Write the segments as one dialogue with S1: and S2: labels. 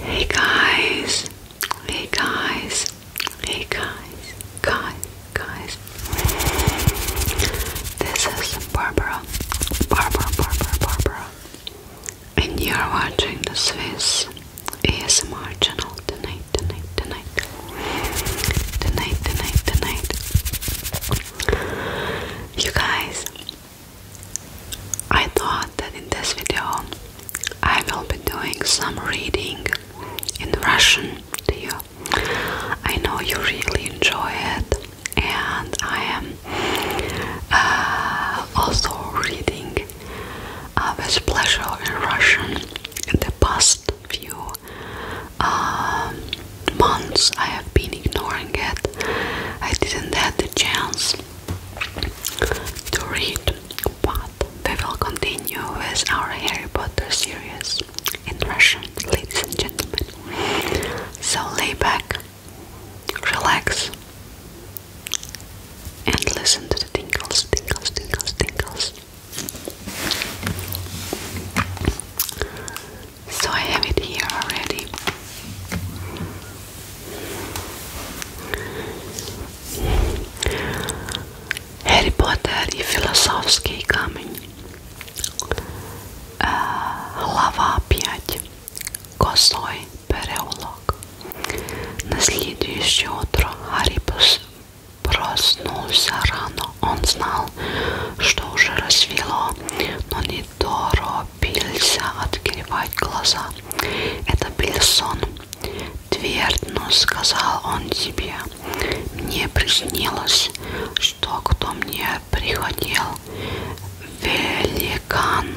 S1: Hey guys, hey guys, hey guys, guys, guys. This is Barbara, Barbara, Barbara, Barbara, and you are watching the Swiss ASMR channel tonight, tonight, tonight, tonight, tonight, tonight. You guys, I thought that in this video I will be doing some reading in Russian to you. I know you really enjoy it, and I am uh, also reading uh, with pleasure in Russian in the past few um, months I have been ignoring it. I didn't have the chance to read, but we will continue with our Harry Potter series in Russian, ladies and gentlemen. So lay back, relax, and listen to the tinkles, tinkles, tinkles, tinkles. So I have it here already. Harry Potter i filozofský kamen. Глава 5. Косой переулок. На следующее утро Гарри проснулся рано. Он знал, что уже рассвело, но не торопился открывать глаза. Это был сон. Твердно сказал он себе. Мне приснилось, что кто мне приходил, великан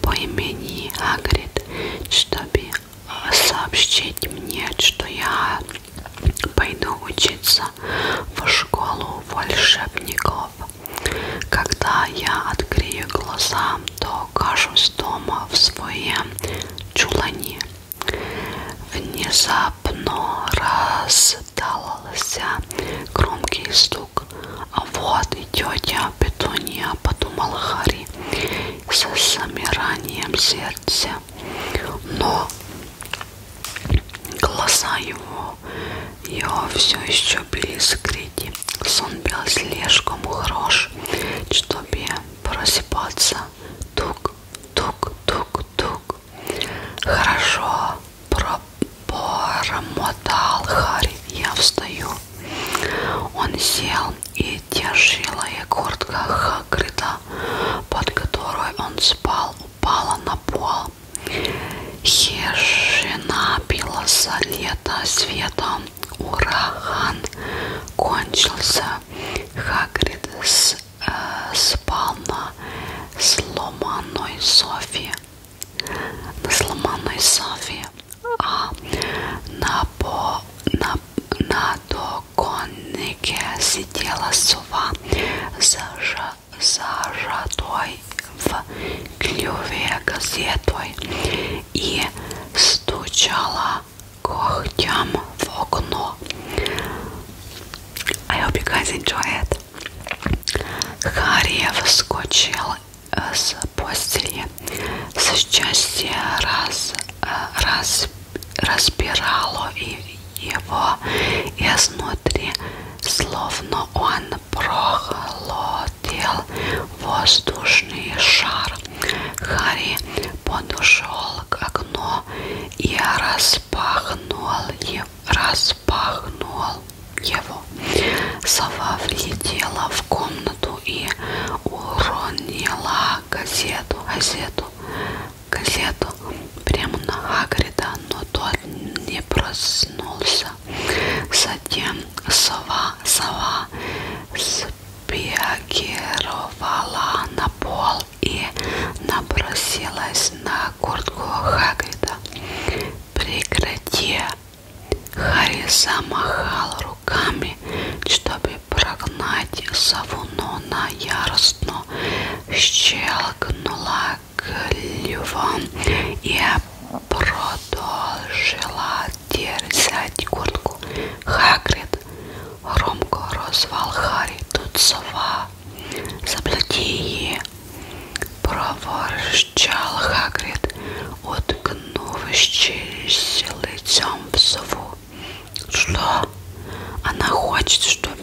S1: по имени Агрид, чтобы сообщить мне, что я Пойду учиться в школу волшебников. Когда я открою глаза, то окажусь дома в своем чулане. Внезапно раздался громкий стук. А вот и тетя Петуния, подумал Харри со замиранием сердца. Но Глаза его, его все еще были скрыты. Сон был слишком хорош, чтобы просыпаться. Тук, тук, тук, тук. Хорошо, пробормотал Харри. Я встаю. Он сел и тяжелая куртка Хагрида, под которой он спал, упала на пол. Хижина билась лето светом. Ураган кончился. Хагрид с, э, спал на сломанной Софи. На сломанной Софи. А на, по, на, на до подоконнике сидела сова зажа, зажатой в клюве газетой и стучала когтям в окно. I hope you guys enjoy it. Харри вскочил э, с постели, с счастья раз, э, раз разбирало его изнутри, словно он прохладил воздушный шар. Харри подошел к окну и распахнул его. Распахнул его. Сова влетела в комнату и уронила газету. газету газету прямо на Хагрида, но тот не проснулся. Затем сова, сова спиагировала на пол и набросилась на куртку Хагрида. Прекрати! Харри замахал руками, чтобы прогнать сову, но на яростно щелкнула клювом и продолжила держать куртку. Хагрид громко розвал Харри. Тут сова. Заплати її. Проворщал Хагрид, уткнувшись лицом в сову. Что? Она хочет, чтобы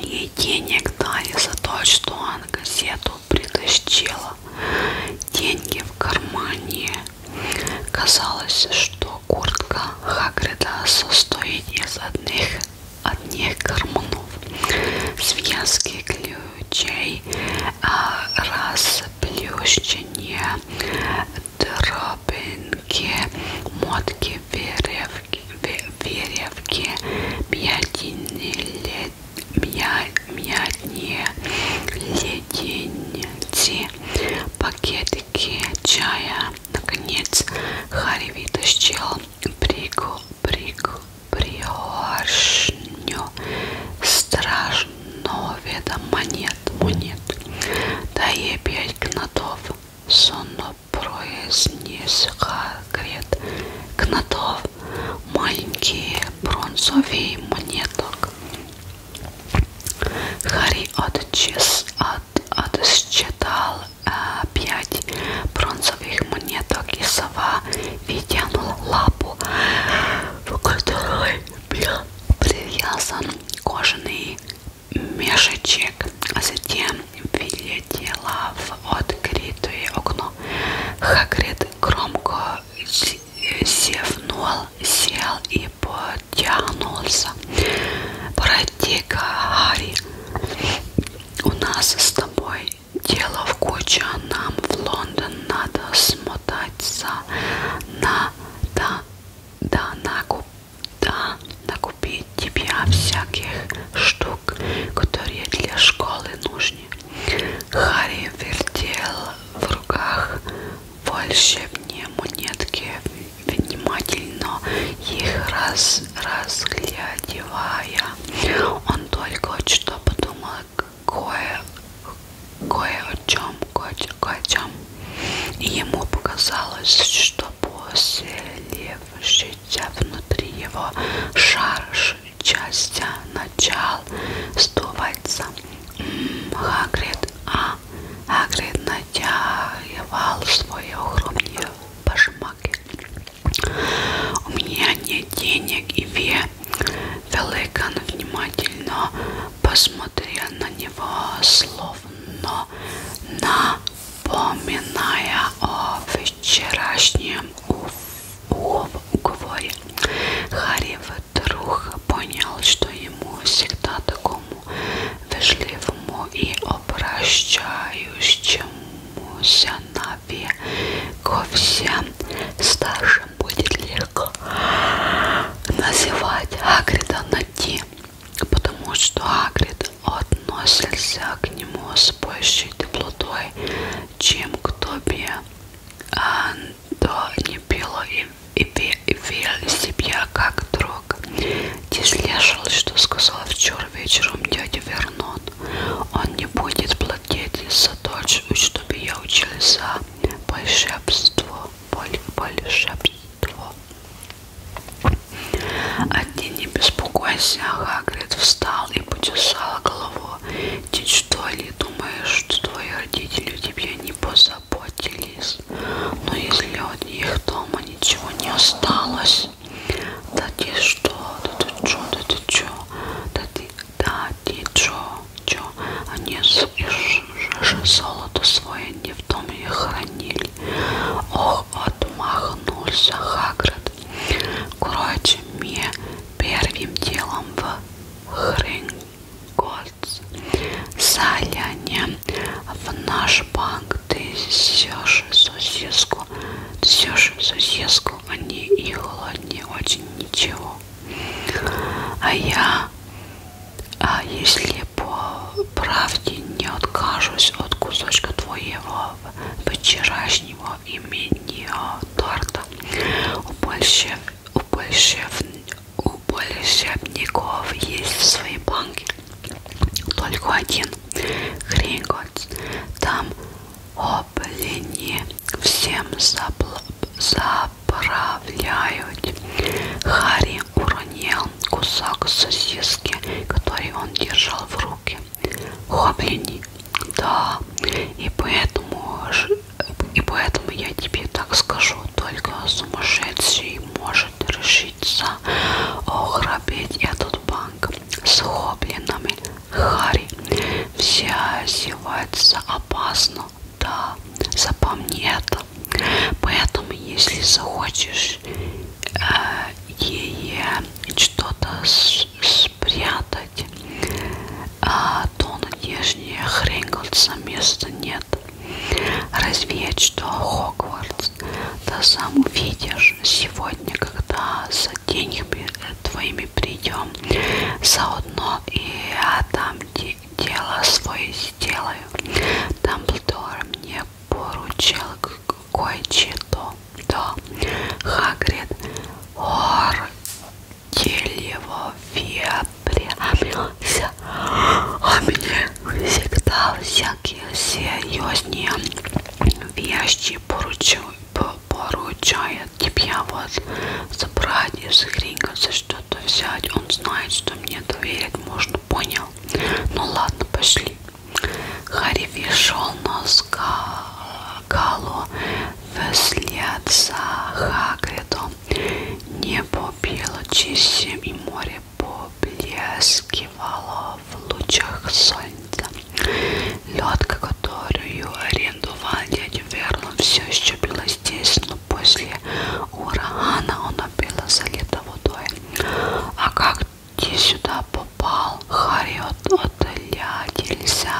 S1: Ей денег дали за то, что она газету притащила. Деньги в кармане. Казалось, что куртка Хагрида состоит из одних, одних карманов. Связки ключей, а, расплющение, дробинки, мотки, веревки, веревки мятные, мятные леденцы, пакетики чая. Наконец Харри вытащил бригу, бригу, приоршню страшного веда монет, монет. Да и пять гнотов, сонно произнес-грет Гнатов маленькие бронзовые монеток. Харри отчес, от, отсчитал э, пять бронзовых монеток и сова вытянула лапу, в которой был привязан кожаный мешечек, а затем вилетела в открытое окно. Хагрид громко зевнул, сел и потянулся. Пройди-ка, Гарри, у нас с тобой дело в куче, нам в Лондон надо смотаться на да, да, накуп да накупить тебе всяких штук, которые для школы нужны. Харри вертел в руках волшебные монетки, внимательно их раз разглядывая. Он только что подумал кое, кое о чем, кое, кое о чем. И ему показалось, что послевшийся внутри его шар частя начал сдуваться. Хагрид, а Хагрид натягивал свои огромные башмаки. У меня нет денег, и Ве Великан внимательно посмотрел на него, словно на Поминая о вчерашнем уговоре, Харри вдруг понял, что ему всегда такому вежливому и обращающемуся на век ко всем старшим будет легко называть Хагрида на «ти», потому что Хагрид относился к нему с большей теплотой, чем к Тобе. Андо не пила и, и, и верил себя как друг. Ты слышал, что сказал вчера вечером дядя Вернон? Он не будет платить за дочь, чтобы я учился большебство, большебство. Одни не беспокойся, Хагрид встал и почесал голову. Ты что ли думаешь, что твои родители тебе не позаботились? Но если от них дома ничего не осталось, да ты что, да ты чё, да ты чё, да ты, да ты чё, чё, они же золото свое не в доме хранили мысль. Ох, отмахнулся Хагрид. Короче, мне первым делом в Хрингольц заляне в наш банк ты сешь сосиску, сешь сосиску, они а и холоднее а очень ничего. А я а если по правде не откажусь от кусочка твоего вчерашнего имени торта, у польщевников есть свои банки. Только один Хрингольц. Там облени всем заправляют. Харри уронил кусок сосиски, который он держал в руке. Хоблини. Да, и поэтому, и поэтому я тебе так скажу, только сумасшедший может решиться ограбить этот банк с хоблинами. Харри, все одеваются опасно, да, запомни это. Поэтому, если захочешь ей что-то спрятать, а, то надежнее Хринготса места нет. Разведь, что Хогвартс, да сам увидишь сегодня, когда за деньгами твоими придем, заодно и я а, там дело свое сделаю. Дамблдор мне поручил кое-что. Да. Хагрид горделиво приобрелся, а мне всегда всякие серьезные вещи поручил поручает тебе вот забрать из за что-то взять он знает что мне доверять можно понял ну ладно пошли Харифи шел, но Галу вслед за Хагридом небо било чистым и море поблескивало в лучах солнца. Лодка, которую арендовал дядя Вернон, все еще была здесь, но после урагана он напила, залита водой. А как ты сюда попал? Харри отдалялся,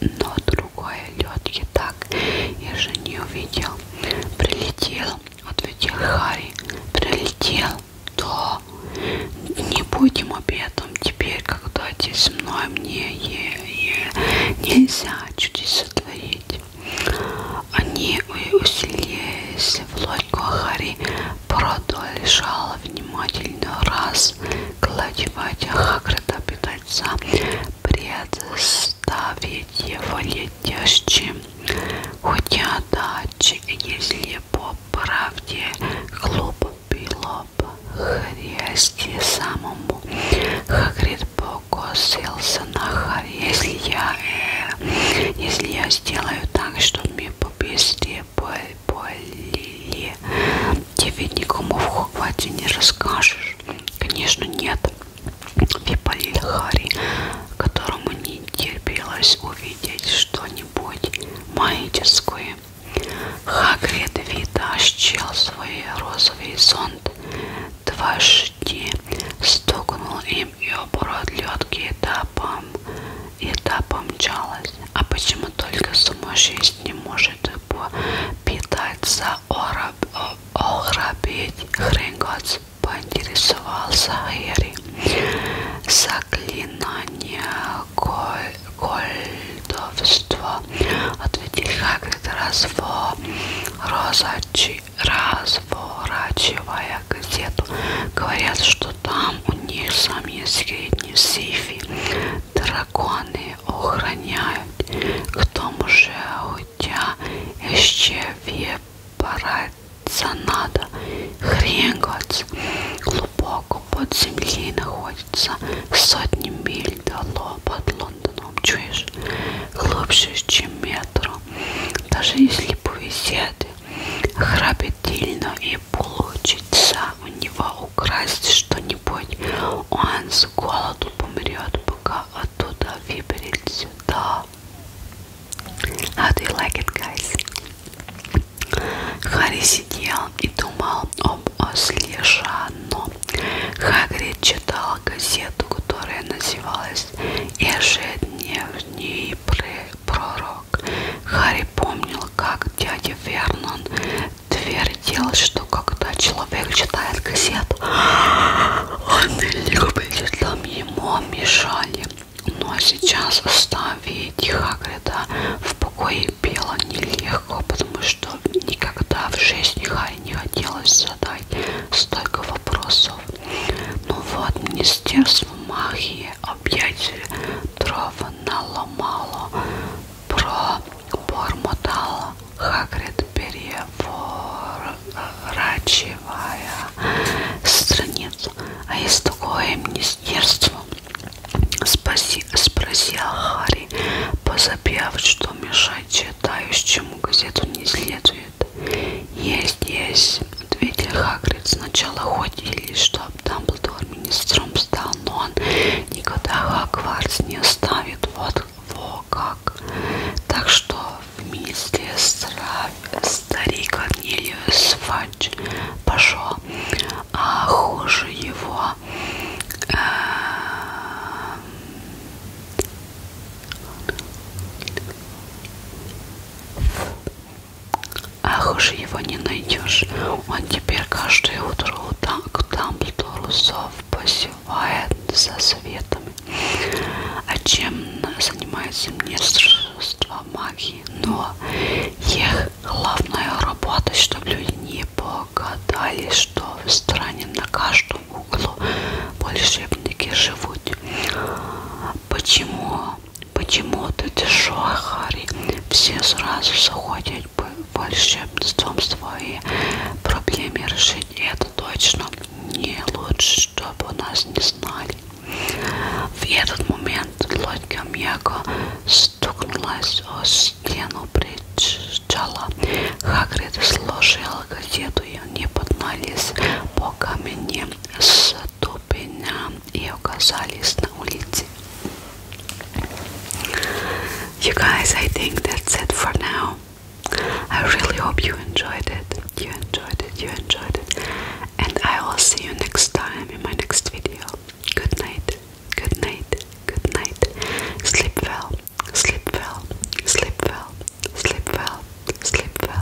S1: но другой лед так я же не увидел. Прилетел, ответил Харри. Прилетел, то не будем обедом теперь, когда ты со мной мне е -е нельзя чудеса творить они усилились, вплоть Гохари продолжал внимательно разгладивать Хагрида пытаться представить его летящим, хотя дачи, если по правде клуб было бы хрести самому. Хагрид покосился на Харри если я, э, если я сделаю так, что мне побесили, болели, тебе никому в Хогвартсе не расскажешь. Конечно, нет. Випалил Хари, которому не терпелось увидеть что-нибудь магическое. Хагрид вытащил свой розовый зонт дважды, стукнул им и оборот ледки до этапом, и этапа мчалась. А почему только сумасшедший не может питаться, ограбить? Хренгоц поинтересовался Гэри. Заклинание колдовства, ответил Хагрид, раз в розачи разворачивая газету. Говорят, что там у них самые средние сейфы. Драконы охраняют. К тому же хотя еще выбираться надо. Хренгоц глубоко под землей находится сотни миль дало под Лондоном. Чуешь? Глубже, чем метр. Даже если повезет, храбетильно и получится у него украсть что-нибудь. Он с голоду помрет, пока оттуда выберется. Да. How do you like it, guys? Харри сидел и думал об осле Жанну. Хагрид читал газету, которая называлась «Ежедневные пророк. Харри помнил, как дядя Вернон твердил, что когда человек читает газету, «А, он любит, там ему мешали. Но ну, а сейчас оставить Хагрида в покое Билла нелегко, потому что никогда в жизни Харри не хотелось задать столько вопросов. Ну вот, Министерство магии объятель дрова наломало, пробормотала Хагрид, переворачивая страницу. А есть такое министерство? Спаси, спросил Харри, позабив, что мешать читающему газету не следует. «Есть, есть», — ответил Хагрид. «Сначала ходили, чтоб Дамблдор министром стал, но он никогда Хагвардс не оставит, вот во как. Так что в министерстве старик Корнелиус Фадж пошел, а хуже его... Э Ах уж его не найдешь, он теперь каждое утро к Дамблдору зов посевает за советами. А чем занимается Министерство магии? Но их главная работа, чтобы люди не погадали, что в стране на каждом углу волшебники живут. Почему Почему ты Шоахари? Все сразу заходят волшебством свои проблемы решить. И это точно не лучше, чтобы нас не знали. В этот момент лодка мягко стукнулась о стену причала. Хагрид сложил газету и не поднялись по камням с Столпеня и оказались на улице. You guys, I think that's it for now. I really hope you enjoyed it. You enjoyed it. You enjoyed it. And I will see you next time in my next video. Good night. Good night. Good night. Sleep well. Sleep well. Sleep well. Sleep well. Sleep well.